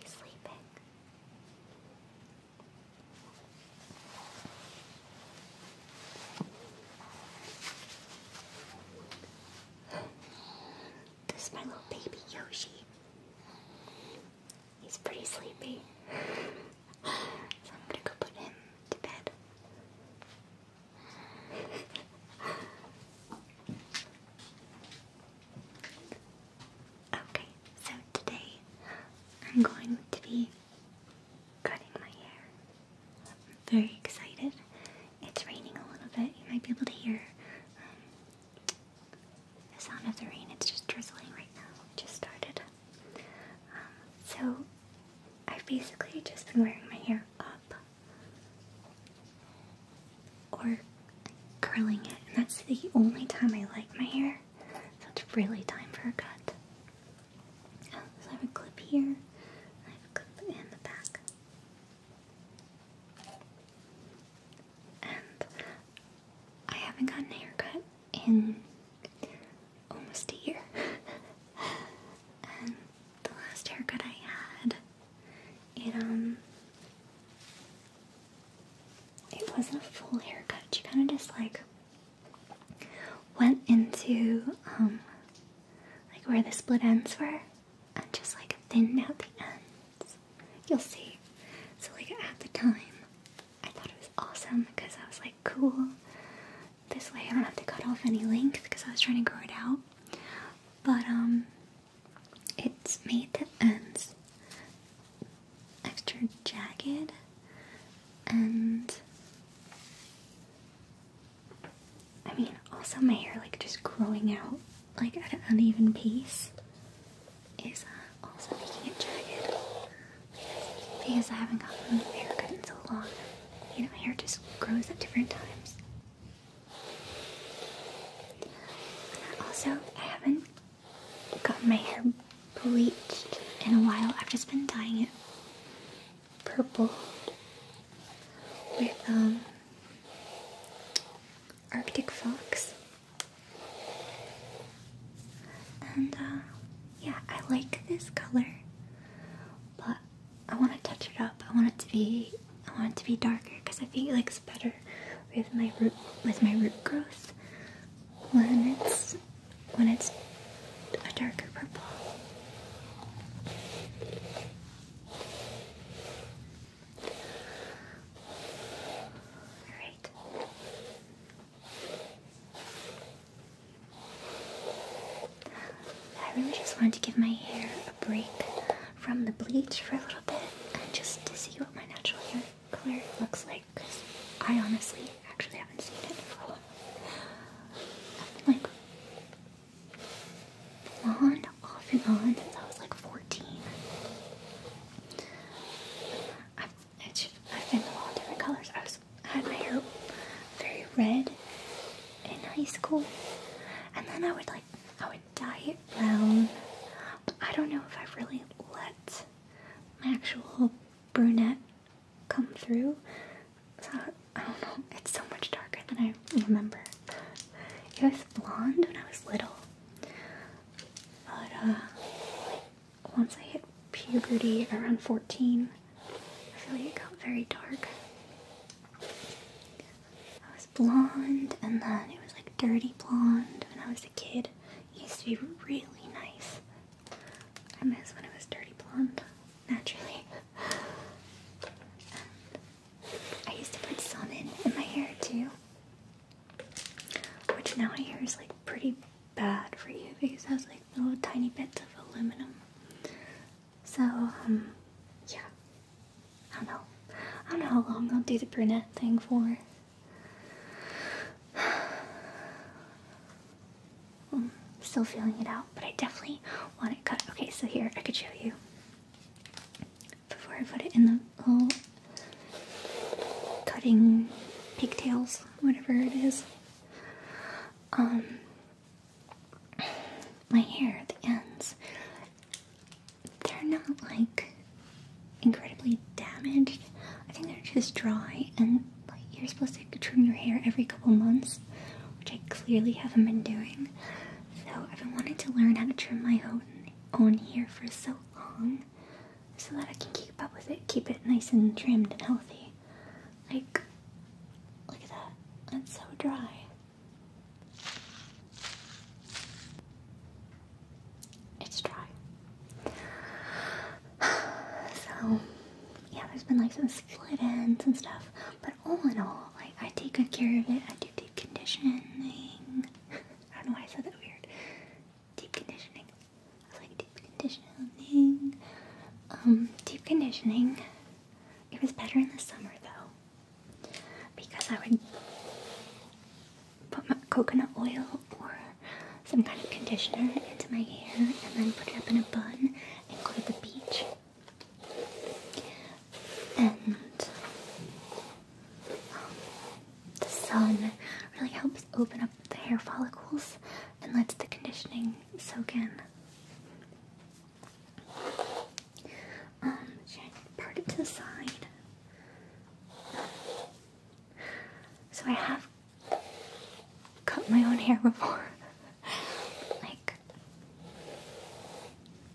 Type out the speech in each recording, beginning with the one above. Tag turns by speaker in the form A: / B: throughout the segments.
A: He's sleeping. This is my little baby Yoshi. He's pretty sleepy. So I'm gonna go put him to bed. Okay, so today I'm going to be cutting my hair. I'm very excited. It's raining a little bit. You might be able to hear um, the sound of the rain. It's just drizzling right now. It just started. Um, so I've basically just been wearing my hair up or curling it, and that's the only time I like my hair, so it's really time for a cut. Oh, I have a clip here, I have a clip in the back. And I haven't gotten a haircut in almost a year. and the last haircut I had, it um it wasn't a full haircut. She kinda just like went into um like where the split ends were and just like thinned out the ends. You'll see. So like at the time I thought it was awesome because I was like cool this way I don't have to cut off any length because I was trying to grow it out. But um it's made the ends extra jagged and I mean also my hair like just growing out like at an uneven pace is uh, also making it jagged because I haven't gotten hair cut in so long you know, hair just grows at different times. Also, I haven't gotten my hair bleached in a while. I've just been dyeing it purple with um Arctic Fox. And uh yeah, I like this color, but I want to touch it up. I want it to be I want it to be darker because I feel like it's better with my root with my root growth when it's when it's a darker purple. All right. I really just wanted to give my hair a break from the bleach for a little bit and just to see what my natural hair color looks like because I honestly actually haven't seen it for a like blonde off and on since I was like 14. I've, I've been a different colors. I was was had my hair very red in high school, and then I would like I would dye it brown. I don't know if i really let my actual brunette come through. I don't know. It's so much darker than I remember. It was blonde when I was little, but uh, once I hit puberty around fourteen. I feel like it got very dark. I was blonde and then it was like dirty blonde when I was a kid. It used to be really nice. I miss when it was dirty blonde, naturally. I used to put sun in, in my hair too. Which now I hear is like pretty bad for you because it has like little tiny bits of aluminum. So, um, yeah. I don't know. I don't know how long I'll do the brunette thing for. I'm still feeling it out, but I definitely want it cut. Okay, so here, I could show you. Before I put it in the little cutting pigtails, whatever it is. Um, my hair, the ends, they're not like incredibly damaged. I think they're just dry and you're supposed to trim your hair every couple months, which I clearly haven't been doing. So I've been wanting to learn how to trim my own own hair for so long so that I can keep up with it, keep it nice and trimmed and healthy. Like, look at that. That's so dry. It's dry. So, yeah, there's been like some split ends and stuff. But all in all, like, I take good care of it. I do deep conditioning. I don't know why I said that weird. Deep conditioning. like deep conditioning. Um, deep conditioning. It was better in the summer though, because I would put my coconut oil or some kind of conditioner into my hair and then put it up in a bun and go to the beach. And um, the sun really helps open up the hair follicles and lets the conditioning soak in. Um, should I part it to the side? So I have cut my own hair before. like,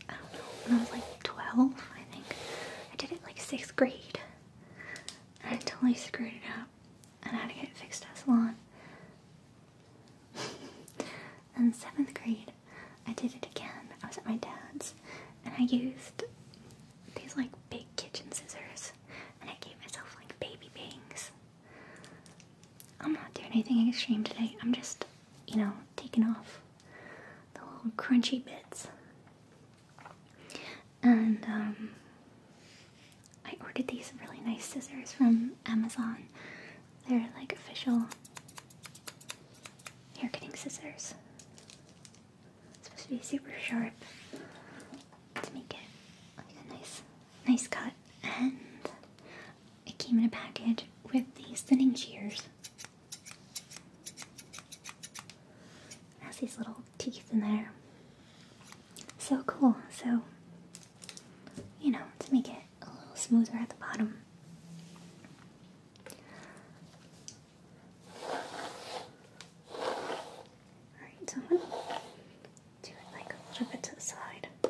A: I don't know, when I was like 12, I think. I did it like 6th grade. I totally screwed it up. And I had to get it fixed at a salon in seventh grade, I did it again. I was at my dad's, and I used these like big kitchen scissors, and I gave myself like baby bangs. I'm not doing anything extreme today. I'm just, you know, taking off the little crunchy bits. And um, I ordered these really nice scissors from Amazon. They're like official hair cutting scissors. It's supposed to be super sharp to make it a nice, nice cut. And it came in a package with these thinning shears. It has these little teeth in there. So cool. So, you know, to make it a little smoother at the bottom. Alright, so do it like a little bit to the side.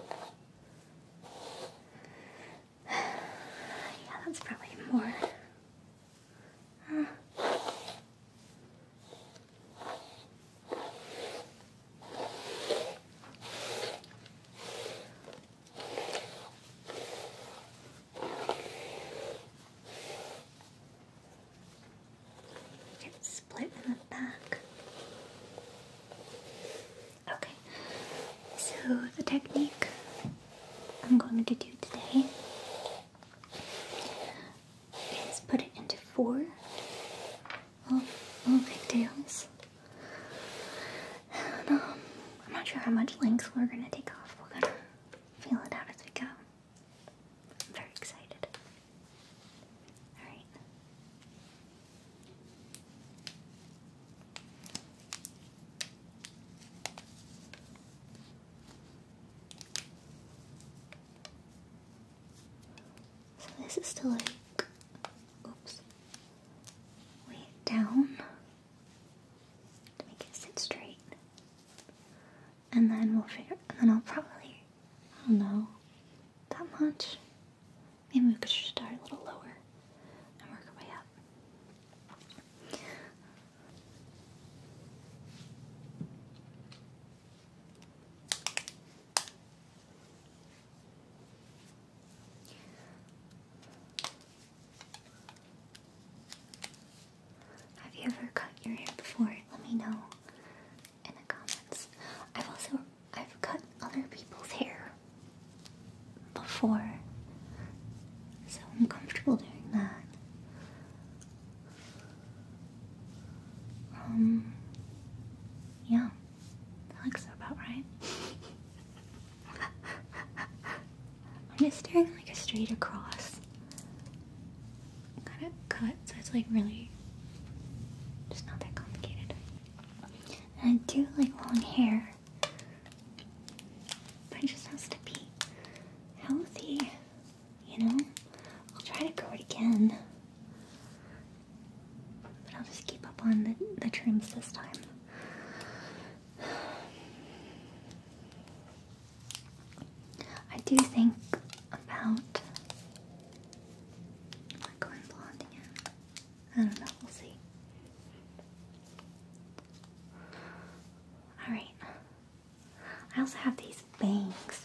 A: Yeah, that's probably more. It's split in the back. Okay, so the technique I'm going to do today is put it into four little, little pigtails. I'm not sure how much length we're gonna take off. We're gonna feel it out as we go. I'm very excited. Alright. So this is still like oops, way down to make it sit straight. And then we'll figure, and then I'll probably, I don't know, that much. Maybe we could start a little lower and work our way up. Have you ever cut your hair before? Let me know in the comments. I've also I've cut other people's hair before. So I'm comfortable doing that. Um yeah looks about right. I'm just staring like a straight across. Kind of cut, so it's like really just not that complicated. And I do like long hair, but it just has to be healthy, you know? I'll try to grow it again. But I'll just keep up on the, the trims this time. I do think about going blonde again. I don't know, we'll see. Alright. I also have these bangs.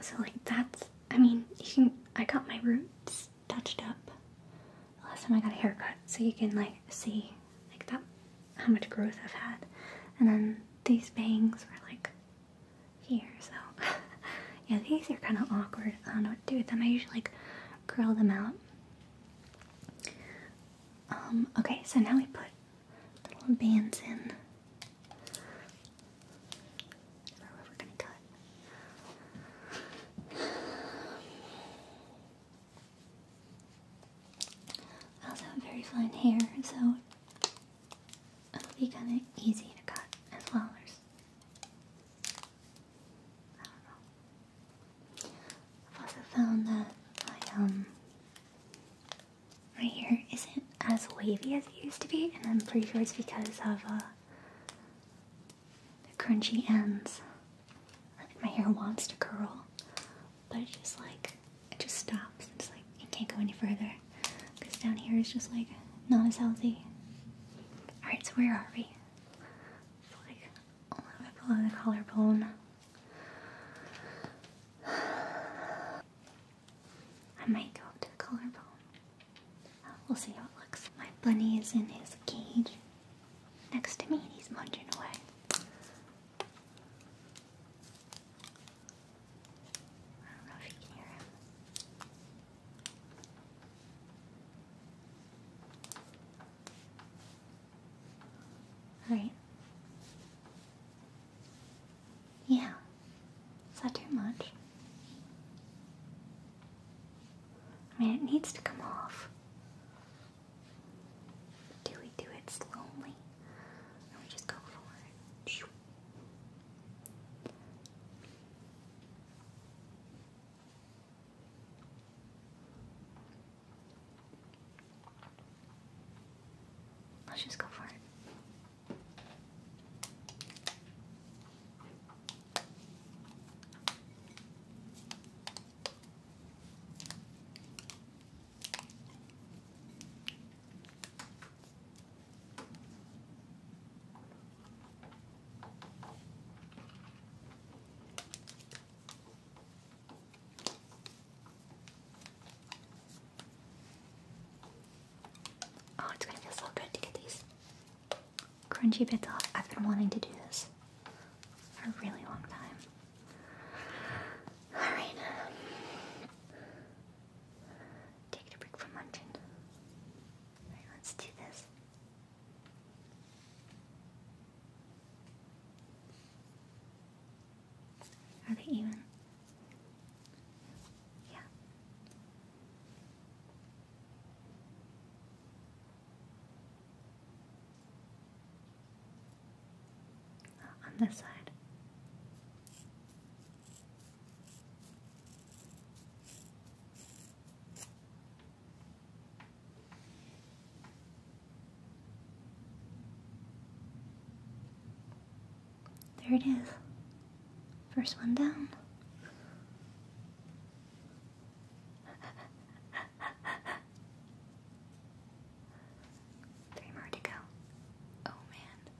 A: So like that's I mean you can I got my roots touched up last time I got a haircut so you can like see like that how much growth I've had and then these bangs were like here so yeah these are kind of awkward I don't know what to do with them I usually like curl them out um okay so now we put the little bands in I have very fine hair, so it'll be kind of easy to cut as well. I have also found that my um my hair isn't as wavy as it used to be, and I'm pretty sure it's because of uh, crunchy ends. my hair wants to curl, but it just like it just stops. It's like it can't go any further because down here is just like not as healthy. All right, so where are we? like a little bit below the collarbone. I might go to collarbone. We'll see how it looks. My bunny is in his cage next to me. and He's munching away. I don't know if you can hear him. Alright. Yeah, is that too much? I mean, it needs to come off. Do we do it slowly? Or we just go for it? Let's just go for it. Oh, it's gonna feel so good to get these Crunchy bits off. I've been wanting to do this for a really long time. Alright. Um, Taking a break from luncheon. let's do this. Are they even? on this side. There it is. First one down. Three more to go. Oh man.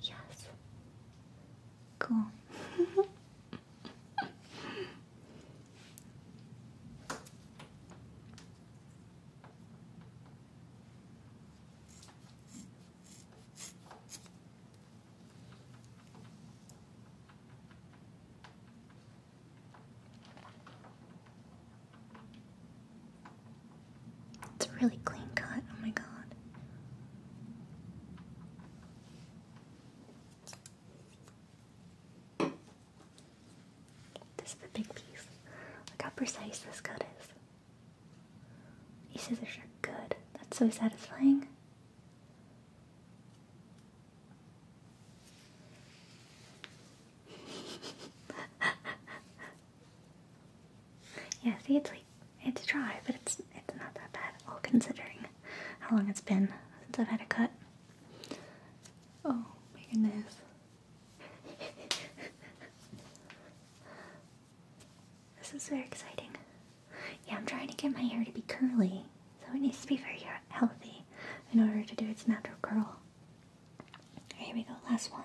A: Yes. Cool. It's a really clean cut, oh my god. This is a big piece. Look how precise this cut is. These scissors are good. That's so satisfying. yeah, see, it's like it's dry, but it's it's not that bad all considering how long it's been since I've had a cut. Oh my goodness. this is very exciting. Yeah, I'm trying to get my hair to be curly, so it needs to be very healthy in order to do its natural curl. here we go, last one.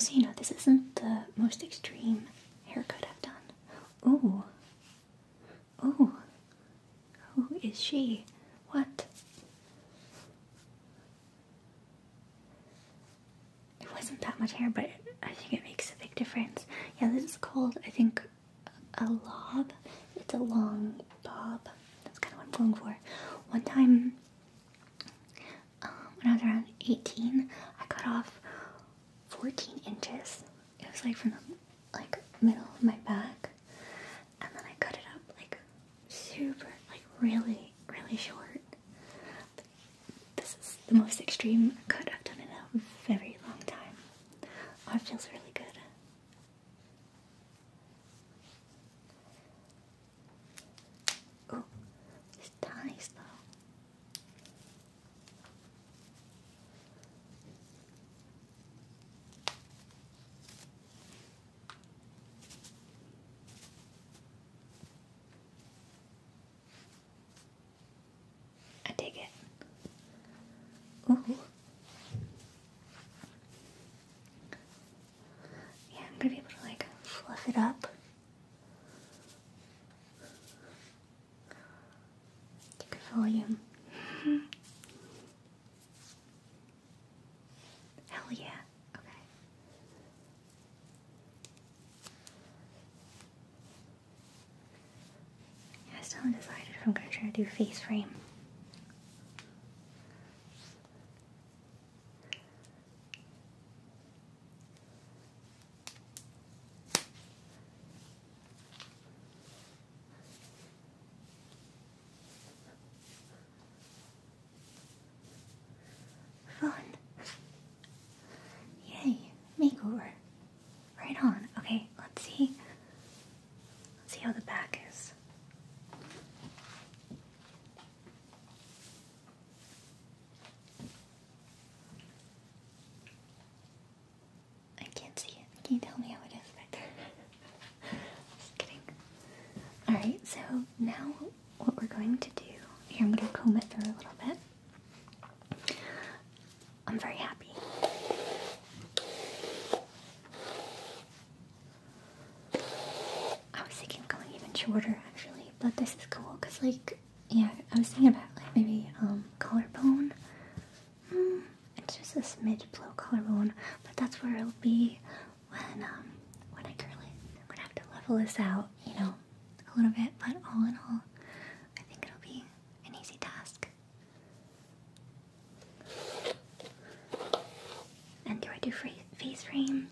A: So you know this isn't the most extreme haircut I've done. Oh, oh, who is she? What? It wasn't that much hair, but I think it makes a big difference. Yeah, this is called, I think, a lob. It's a long bob. That's kind of what I'm going for. One time, um, when I was around 18, I cut off 14 inches. It was like from the like middle of my back, and then I cut it up like super, like really, really short. This is the most extreme cut I've done in a very long time. Oh, it feels really good. Oh, it's tiny though. I dig it. Ooh. Yeah, I'm gonna be able to like fluff it up. volume. Hell yeah. Okay. I still have if I'm gonna try to do face frame. Fun. Yay, makeover. Right on. Okay, let's see. Let's see how the back is. I can't see it. Can you tell me how it is back there? Just kidding. Alright, so now what we're going to do, here I'm going to comb it through a little bit. I'm very happy. I was thinking of going even shorter actually, but this is cool because like, yeah, I was thinking about like maybe um collarbone. Hmm, it's just a smidge below collarbone, but that's where it'll be when um when I curl it. I'm gonna have to level this out, you know, a little bit, but all in all, I think it'll be an easy task. And do I do face frame?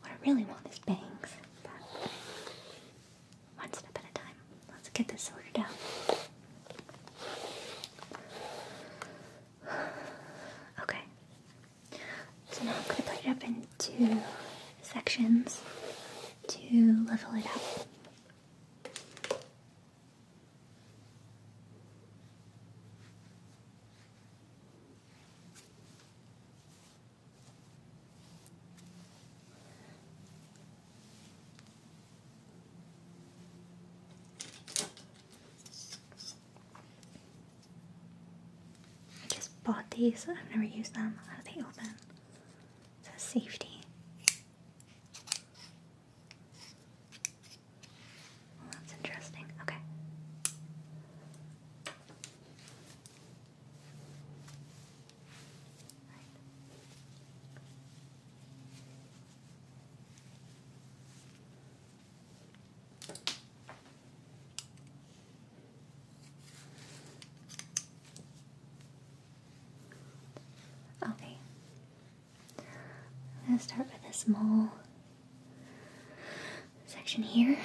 A: What I really want is bangs, but one step at a time. Let's get this sorted out. Okay, so now I'm going to put it up in two sections to level it up. I just bought these. I've never used them. How do they open? It says safety. that's interesting. Okay. Okay. I'm going to start with this small section here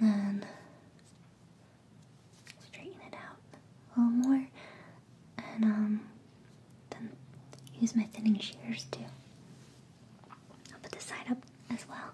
A: and then straighten it out a little more and um, then use my thinning shears too. I'll put this side up as well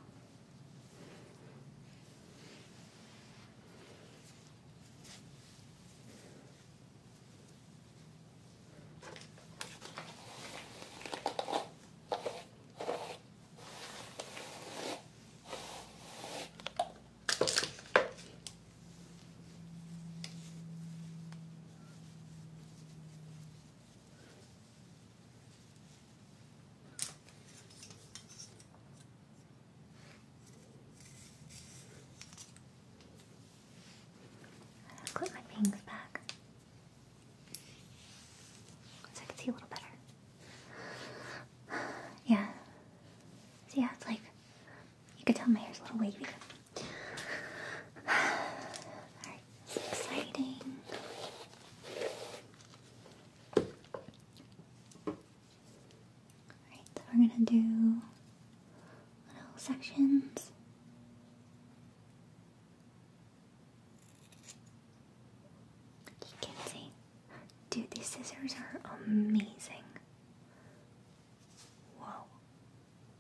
A: i clip my bangs back so I can see a little better. Yeah. See, yeah, it's like you can tell my hair's a little wavy. It's exciting. Alright, so we're gonna do little sections. You can see. Dude, these scissors are amazing. Whoa.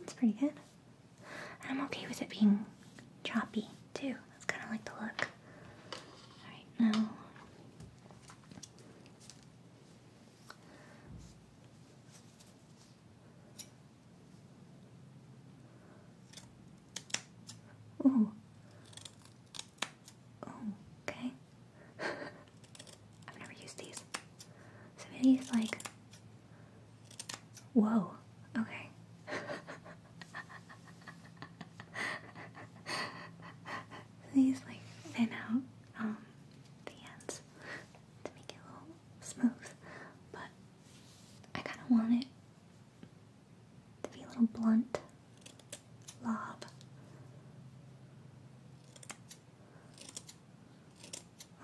A: That's pretty good. I'm okay with it being choppy too. That's kind of like the look. Alright, now. Ooh. Oh, okay. I've never used these. So maybe like. Whoa, okay. These like thin out um, the ends to make it a little smooth, but I kind of want it to be a little blunt lob.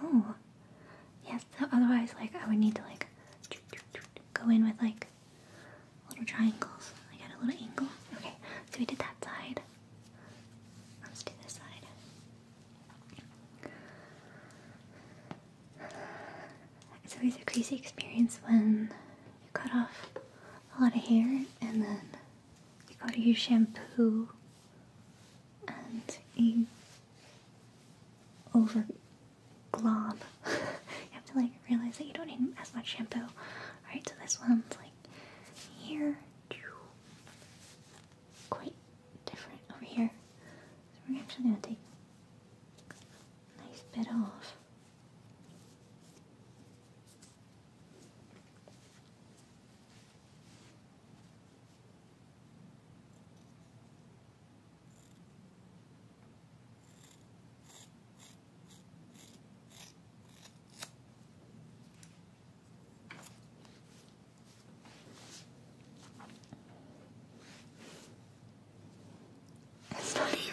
A: Oh, yes. Otherwise, like I would need to like go in with like little triangles. I got a little angle. Okay, so we did that side. Let's do this side. It's always a crazy experience when you cut off a lot of hair and then you go to use shampoo and you over glob. you have to like realize that you don't need as much shampoo. Alright, so this one's like here. Quite different over here. So we're actually gonna take nice bit off. It's not even.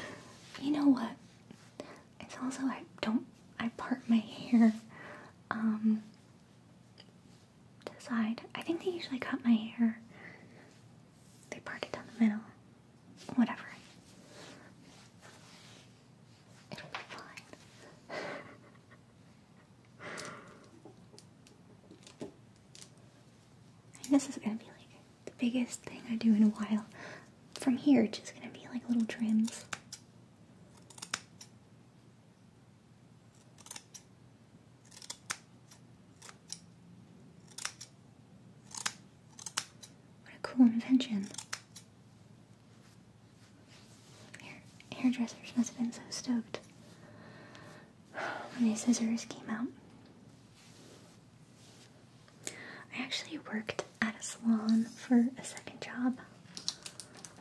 A: you know what? It's also I don't I part my hair um to I think they usually cut my hair they part down the middle. Whatever. It'll be fine. this is gonna be like the biggest thing I do in a while. From here, just gonna be like little trims. What a cool invention. Hair hairdressers must have been so stoked when these scissors came out. I actually worked at a salon for a second job.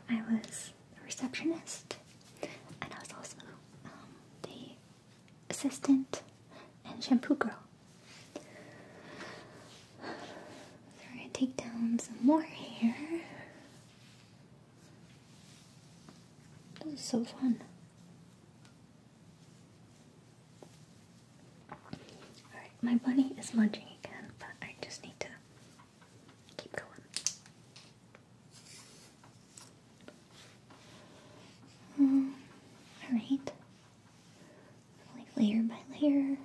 A: I was a receptionist and I was also um, the assistant and shampoo girl. we're gonna take down some more hair. This is so fun. Alright, my bunny is munching again, but I just need to keep going. Hmm, Alright. Like layer by layer.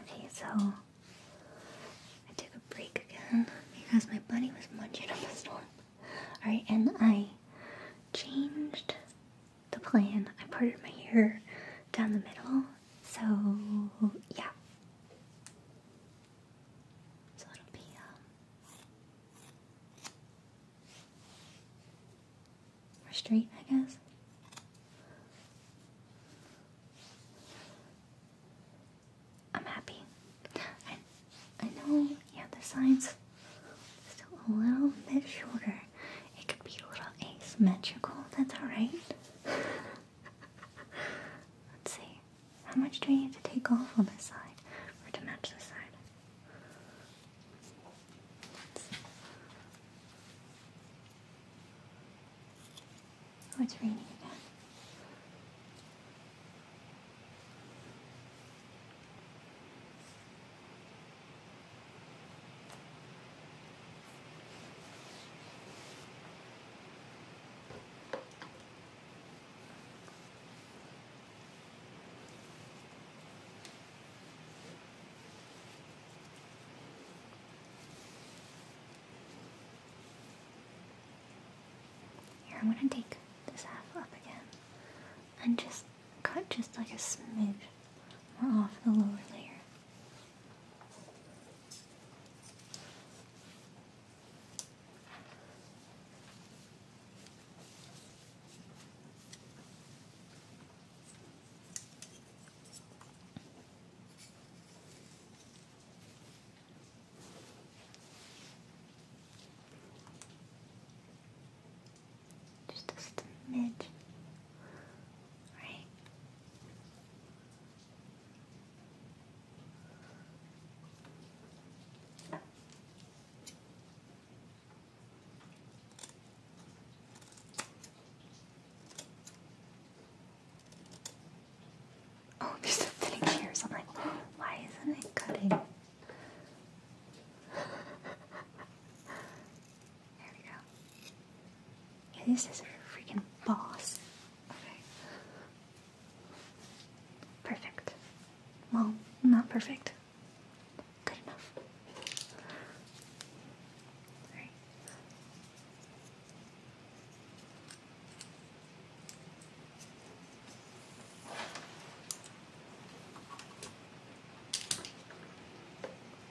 A: Okay, so I took a break again because my bunny was munching on the storm. Alright, and I changed the plan. I parted my hair down the middle so yeah. So it'll be um, more straight, I guess. I'm happy. I, know, yeah, the sides still a little bit shorter. It could be a little asymmetrical. That's all right. Let's see. How much do we need to take off on this side or to match this side? Oh, raining again. Here, I'm going to take this half up again and just cut just like a smidge more off the lower layer. Just a smidge Oh, there's something here. So I'm like, why isn't it cutting? There we go. this is a freaking boss. Okay. Perfect. Well, not perfect. Good enough. Alright.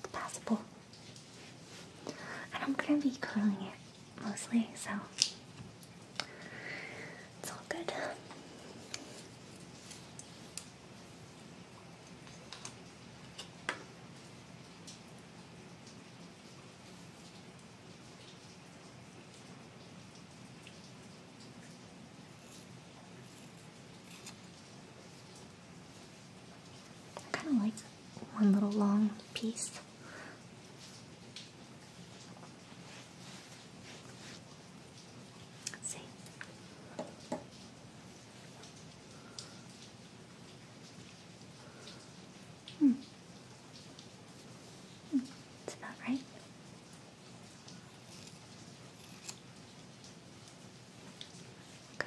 A: That's possible. And I'm gonna be curling it mostly, so it's all good. I kind of like one little long piece. Let's see. Hmm. Hmm. It's about right. Okay.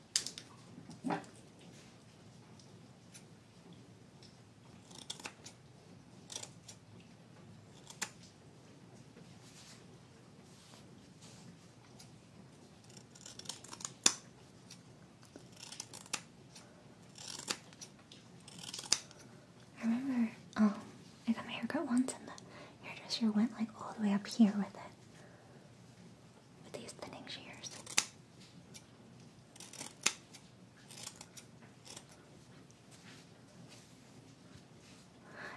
A: I remember, um, I got my haircut once and the hairdresser went like all the way up here with it with these thinning shears.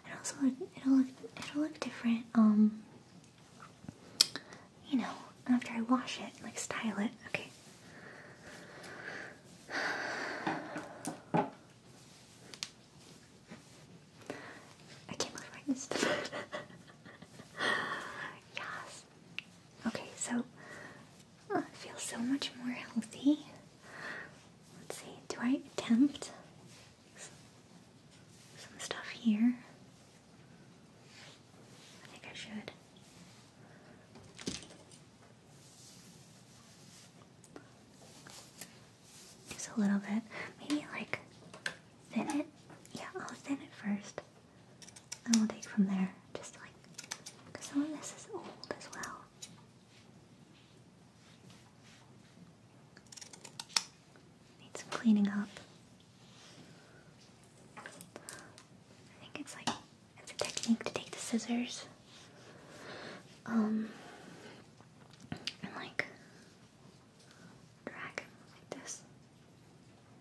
A: It also it'll look it'll look different. Um, you know, after I wash it, like style it. Okay. I can't believe I missed the Yes. Okay, so uh, I feel so much more healthy. Let's see, do I attempt some stuff here? I think I should. Just a little bit. Maybe like thin it. Yeah, I'll thin it first. And we'll take from there. Just like, because some of this is old as well. Need some cleaning up. I think it's like, it's a technique to take the scissors. Um, and like, dragon like this.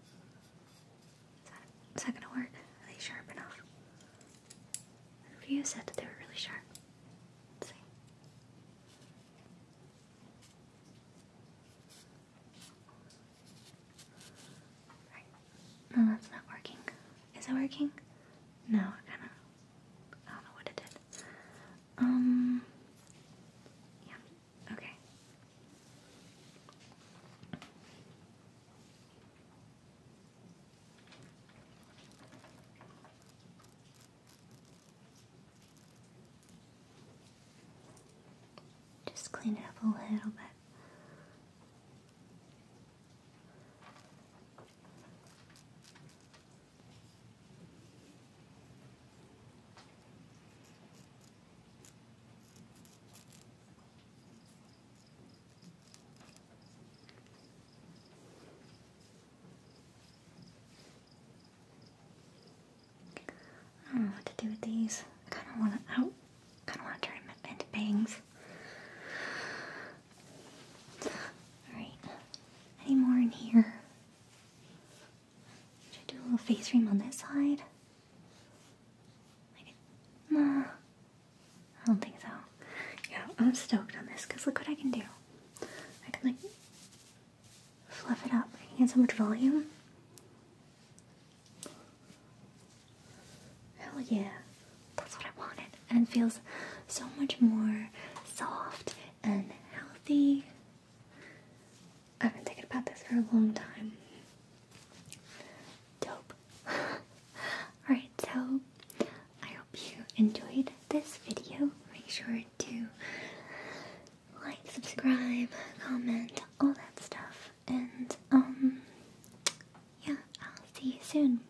A: is that, is that gonna work? Are they sharp enough? The said they were really sharp. see. No, that's not working. Is it working? No, kinda I don't know what it did. Um yeah, Okay. Just clean up a little bit. I don't know what to do with these. I kind of want to out. kind of want to turn them into bangs. All right. Any more in here? Should I do a little face cream on that side? Like, I don't think so. Yeah, I'm stoked on this because look what I can do. I can like fluff it up. I can get so much volume. Hell yeah, that's what I wanted. And it feels so much more soft and healthy. I've been thinking about this for a long time. Dope. Alright, so I hope you enjoyed this video. Make sure to like, subscribe, comment, all that stuff. And, um, yeah, I'll see you soon.